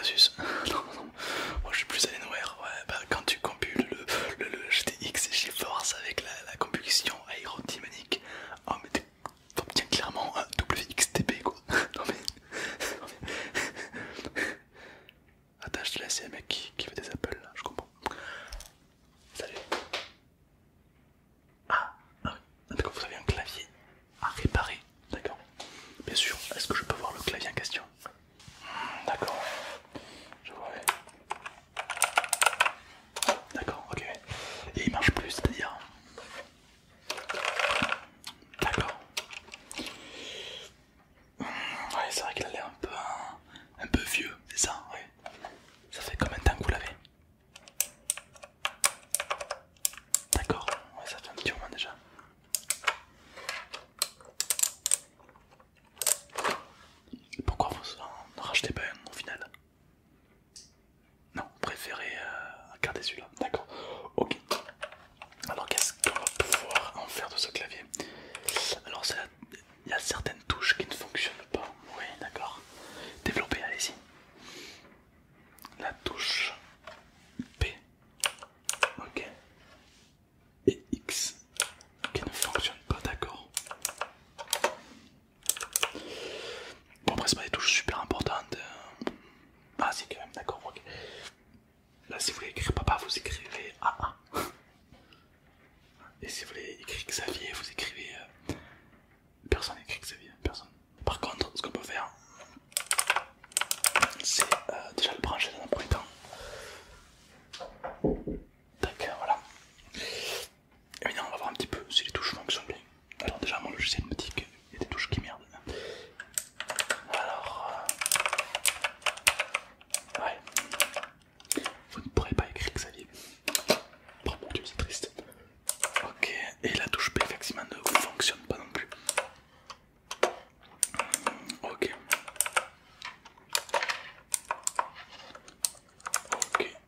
Asus ah, Non, non, moi je suis plus Alienware. Ouais, bah quand tu compules le, le, le GTX avec la, la combustion aérodynamique, oh mais t'obtiens clairement un WXTP quoi. Non mais. Non, laisse, mec qui, fait des Apple, là, je comprends. Salut. Ah, ah oui, d'accord, vous avez un clavier à réparer. D'accord. Bien sûr. Est-ce que je peux voir le clavier en question D'accord. Je vois. D'accord. Ok. Et il marche plus, c'est-à-dire. D'accord. c'est vrai qu'il a l'air un peu, un, peu vieux, c'est ça. Ça fait combien de temps que vous l'avez D'accord, ça fait un petit moment déjà. Pourquoi vous en rachetez pas un au final Non, vous préférez garder euh, celui-là. D'accord, ok. Alors qu'est-ce qu'on va pouvoir en faire de ce clavier Alors il y a certaines touches qui ne fonctionnent pas. Oui, d'accord. Développer, allez-y la touche P, ok, et X qui ne fonctionne pas, d'accord. Bon, après, c'est pas des touches super importantes. Euh. Ah, si, quand même, d'accord, Là, si vous voulez écrire papa, vous écrivez A Et si vous voulez écrire Xavier, vous écrivez euh, Personne n'écrit Xavier, personne. Par contre, ce qu'on peut faire, c'est euh, déjà le brancher dans un premier temps. d'accord voilà. Et maintenant, on va voir un petit peu si les touches fonctionnent bien. Alors, déjà, mon logiciel me dit qu'il y a des touches qui merdent. Alors, euh, ouais, vous ne pourrez pas écrire Xavier. Par mon dieu, c'est triste. Ok, et la touche B effectivement ne fonctionne pas non plus. Ok. Ok.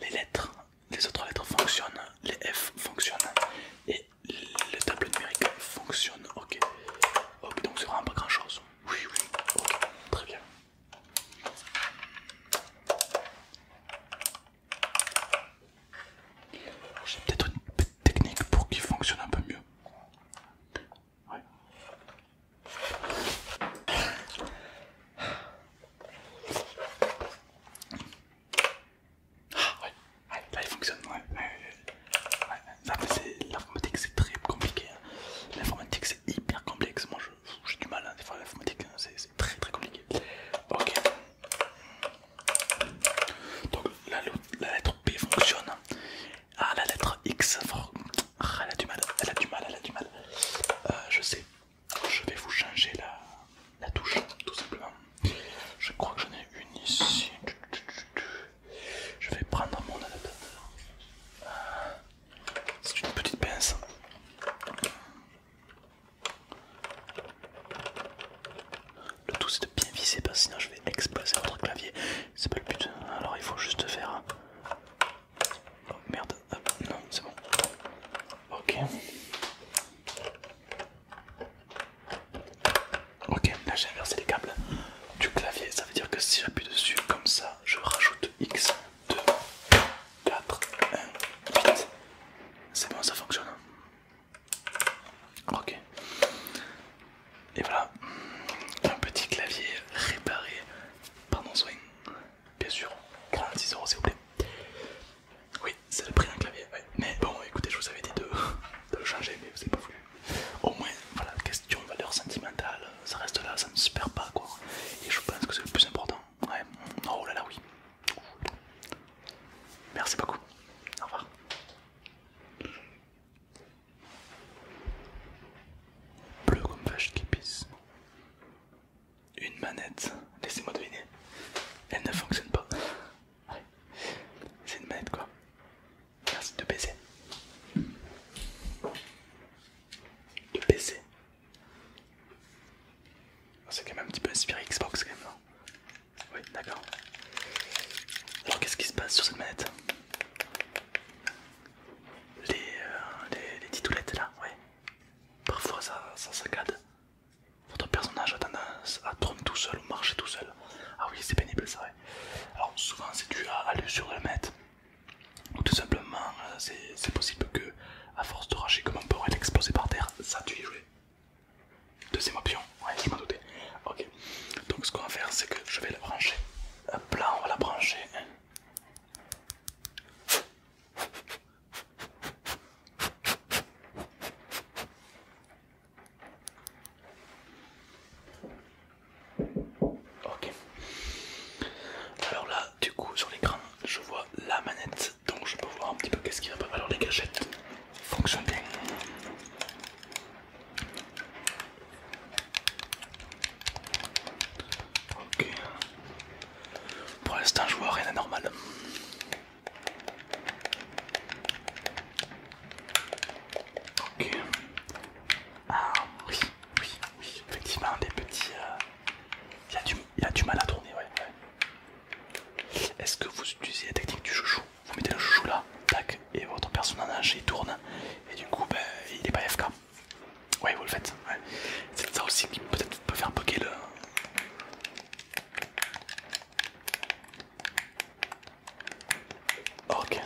les lettres, les autres lettres fonctionnent, les F fonctionnent et le tableau numérique fonctionne. Ok. Ok, donc c'est vraiment pas grand chose. Oui, oui. Ok, très bien. J'ai peut-être une petite technique pour qu'il fonctionne un peu mieux. Ouais. Ah ouais, là il fonctionne, l'informatique c'est très compliqué. Hein. L'informatique c'est hyper complexe. Moi j'ai du mal, hein, des l'informatique hein, très très compliqué. Ok. Donc la, lettre P fonctionne. Ah la lettre X, ah, elle a du mal, elle a du mal, elle a du mal. Euh, je sais, je vais vous changer la, la touche tout simplement. Je crois que j'en ai une ici. Je vais prendre mon adaptateur. Euh, c'est une petite pince. Le tout c'est de bien viser parce que sinon je vais exploser votre clavier. C'est pas le but. Alors il faut juste faire. Oh merde, non, c'est bon. Ok. Ok, là j'ai inversé les câbles du clavier. Ça veut dire que si j'appuie dessus comme ça, je rajoute X. 2, 4, 1, 8. C'est bon, ça fonctionne. Hein. Ok. Et voilà, un petit clavier réparé par nos soin. Bien sûr, 46 euros s'il vous plaît. Oui, c'est le prix d'un clavier. Mais bon, écoutez, je vous avais dit de, de le changer, mais vous n'avez pas voulu. Au moins, voilà, question valeur sentimentale, ça reste là, ça ne se perd pas quoi. Et je pense que c'est le plus important. Ouais. Oh là là, oui. Merci beaucoup. Au revoir. Bleu comme vache qui pisse. Une manette. Laissez-moi deviner. Elle ne fonctionne pas. Ouais. C'est une manette quoi. Merci de baiser. De baiser. Ah, c'est quand même un petit peu inspiré Xbox quand même, Oui, d'accord. Alors qu'est-ce qui se passe sur cette manette les, euh, les, titoulettes là, ouais. Parfois ça, saccade. Votre personnage a tendance à tromper tout seul ou marcher tout seul. Ah oui, c'est pénible ça, Alors souvent c'est dû à, à l'usure de la manette ou tout simplement, euh, c'est possible que, à force de racheter comme un porc et par terre, ça tue y joué. Deuxième option, ouais, je m'en doutais. Ok, donc ce qu'on va faire, c'est que je vais la brancher. Hop là, on va la brancher. Ok. Alors là, du coup, sur l'écran, je vois la manette, donc je peux voir un petit peu qu'est-ce qui va pas. Alors les gâchettes fonctionnent Ok. Pour l'instant, je vois rien d'anormal. Ok. Ah oui. Oui, effectivement, des petits. Il euh, a du mal à tourner, ouais. Est-ce que vous utilisez la technique du chouchou Vous mettez le chouchou là, tac, et votre personnage il tourne, et du coup, ben, il n'est pas FK. Ouais, vous le faites. C'est ça aussi qui peut peut faire bugger le. Ok.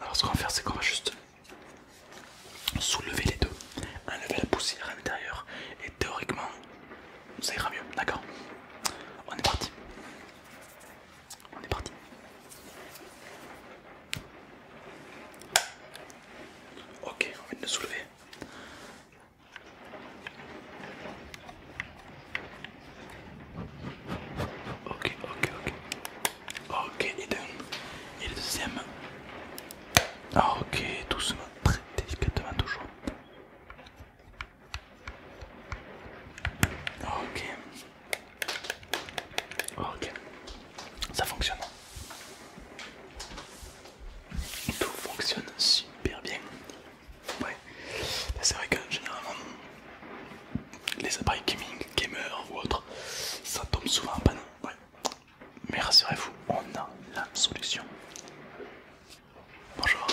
Alors, ce qu'on va faire, c'est qu'on va juste Soulevez les deux, enlevez la poussière à l'intérieur et théoriquement ça ira mieux, d'accord On est parti. On est parti. Ok, on vient de le soulever. Ok, ok, ok. Ok, et, et le deuxième. Ah, ok, doucement, très délicatement toujours. Ok. Ok. Ça fonctionne. Tout fonctionne super bien. Ouais. C'est vrai que généralement les appareils gaming, gamer ou autres, ça tombe souvent pas. panne. Mais rassurez-vous, on a la solution. Bonjour.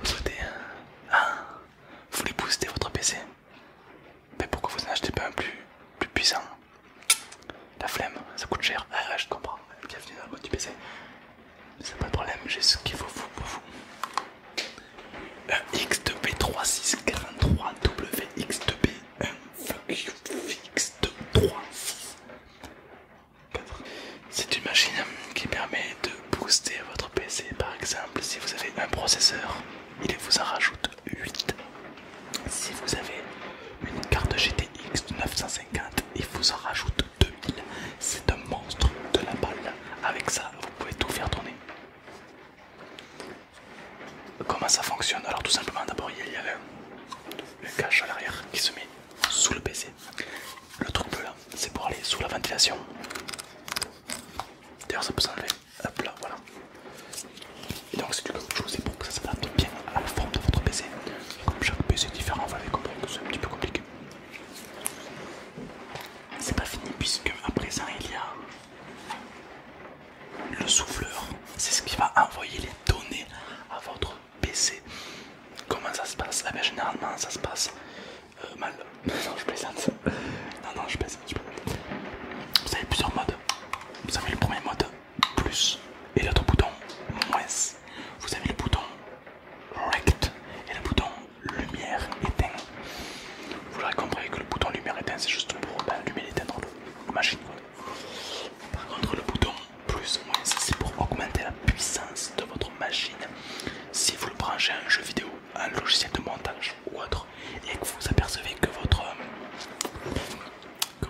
Vous souhaitez Vous voulez booster votre PC Mais pourquoi vous n'achetez pas un plus, plus puissant La flemme, ça coûte cher. Ah, ah je comprends. Bienvenue dans le boîte du PC. C'est pas de problème, j'ai ce qu'il faut pour vous. Un X2B3643WX2B1 C'est une machine qui permet de booster votre PC. Par exemple, si vous avez un processeur, il vous en rajoute 8. Si vous avez une carte GTX de 950, il vous en rajoute 2000. C'est un monstre de la balle. Avec ça, vous pouvez tout faire tourner. Comment ça fonctionne Alors tout simplement d'abord il y a le, cache à l'arrière qui se met sous le PC. Le truc bleu là hein, c'est pour aller sous la ventilation. D'ailleurs ça peut s'enlever. Hop là voilà. Et donc c'est du comme chose, c'est pour que ça s'adapte bien à la forme de votre PC. Comme chaque PC est différent, vous l'avez compris que c'est un petit peu compliqué. C'est pas fini puisque à présent il y a le souffleur, c'est ce qui va envoyer les données à votre PC. Comment ça se passe Mais eh ben, Généralement, ça se passe euh, mal. non, je plaisante. Non, non, je plaisante. Vous avez plusieurs modes. Vous avez le premier mode plus et l'autre bouton moins. Vous avez le bouton rect et le bouton lumière éteinte. Vous l'aurez compris que le bouton lumière éteinte, c'est juste pour ben, allumer et éteindre la machine. Par contre le bouton plus ou moins c'est pour augmenter la puissance de votre machine si vous le branchez à un jeu vidéo, un logiciel de montage ou autre et que vous apercevez que votre, que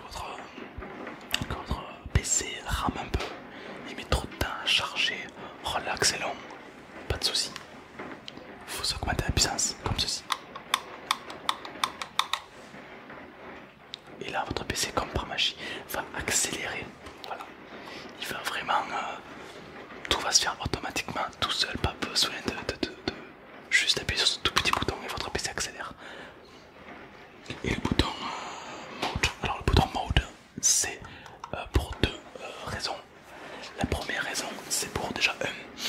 votre, PC rame un peu, il met trop de temps à charger, relax et long, pas de souci faut augmenter la puissance comme ceci. Et là, votre PC comme par magie va accélérer. Voilà, il va vraiment euh, tout va se faire automatiquement tout seul, pas besoin de, juste appuyer sur ce tout petit bouton et votre PC accélère. Et le bouton euh, mode, alors le bouton mode c'est euh, pour deux euh, raisons. La première raison, c'est pour déjà un,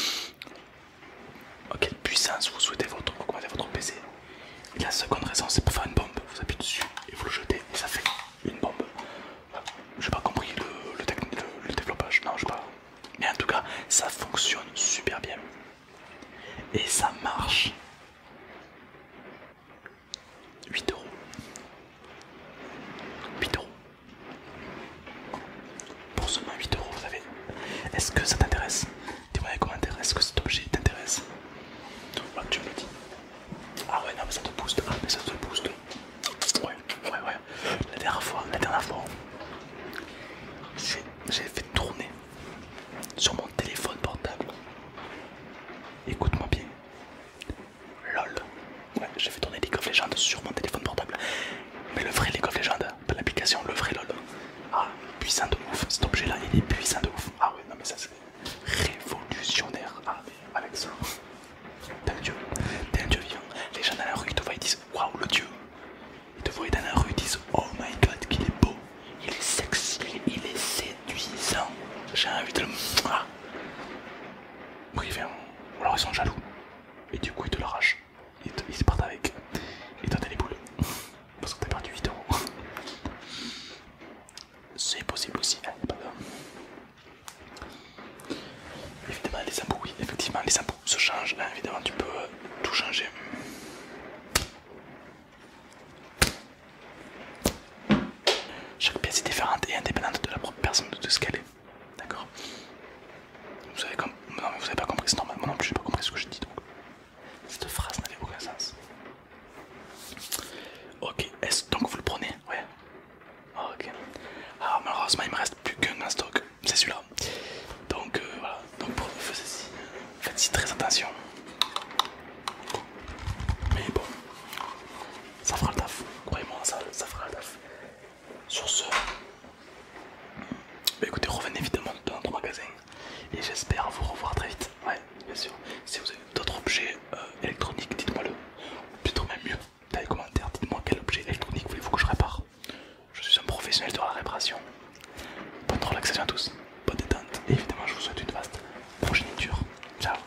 oh, quelle puissance vous souhaitez votre, augmenter votre PC. Et la seconde raison, c'est pour faire une bombe. Vous appuyez dessus et vous le jetez et ça fait une bombe. Euh, j'ai pas compris le, le, le développage, non, je sais pas. Mais en tout cas, ça fonctionne super bien. Et ça marche. 8 euros. 8 euros. Pour seulement 8 euros, vous savez. Est-ce que ça t'intéresse Dis-moi les commentaires, est-ce que cet objet t'intéresse ah, Tu me le dis. Ah ouais, non, mais ça te booste. Ah, mais ça te booste. Ouais, ouais, ouais. La dernière fois, la dernière fois, j'ai fait tourner sur mon téléphone portable. Écoute-moi bien. LOL. Ouais, j'ai fait tourner League of Legends sur mon téléphone portable. Mais le vrai League of Legends, pas l'application, le vrai LOL. Ah, puissant de ouf. Cet objet là, il est puissant de ouf. Ah ouais, non mais ça c'est révolutionnaire. Ah mais avec ça, t'es un dieu. T'es un dieu vivant. Les gens dans la rue, ils te voient, ils disent Waouh, le dieu. Ils te voient dans la rue, ils disent Oh my god, qu'il est beau. Il est sexy, il est séduisant. J'ai envie de le. Ah, Privé, hein, ou alors ils sont jaloux. Et du coup, ils te l'arrachent. Ils, se partent avec. Et toi, t'as les boules. Parce que t'as perdu 8 euros. C'est possible aussi. Hein, Évidemment, les impôts, oui, effectivement, les impôts se changent. Hein, évidemment, tu peux tout changer. Chaque pièce est différente et indépendante de la propre personne de ce qu'elle est. D'accord Vous avez comme... Non mais vous avez pas compris, c'est normal, moi non plus j'ai pas compris ce que je dis donc. Cette phrase n'avait aucun sens. Ok, est-ce donc vous le prenez Ouais. Ah, ok. Alors ah, malheureusement il me reste plus qu'un en stock, c'est celui-là. Donc euh, voilà, donc pour... faites-y très attention. Mais bon, ça fera le taf. Croyez-moi, ça, fera le taf. Sur ce, bah écoutez, revenez évidemment dans notre magasin et j'espère vous revoir très vite. Ouais, bien sûr. Si vous avez d'autres objets euh, électroniques, dites-moi le. Ou plutôt même mieux, dans les commentaires, dites-moi quel objet électronique voulez-vous que je répare. Je suis un professionnel de la réparation. Bonne relaxation à tous, bonne détente et évidemment je vous souhaite une vaste progéniture. Ciao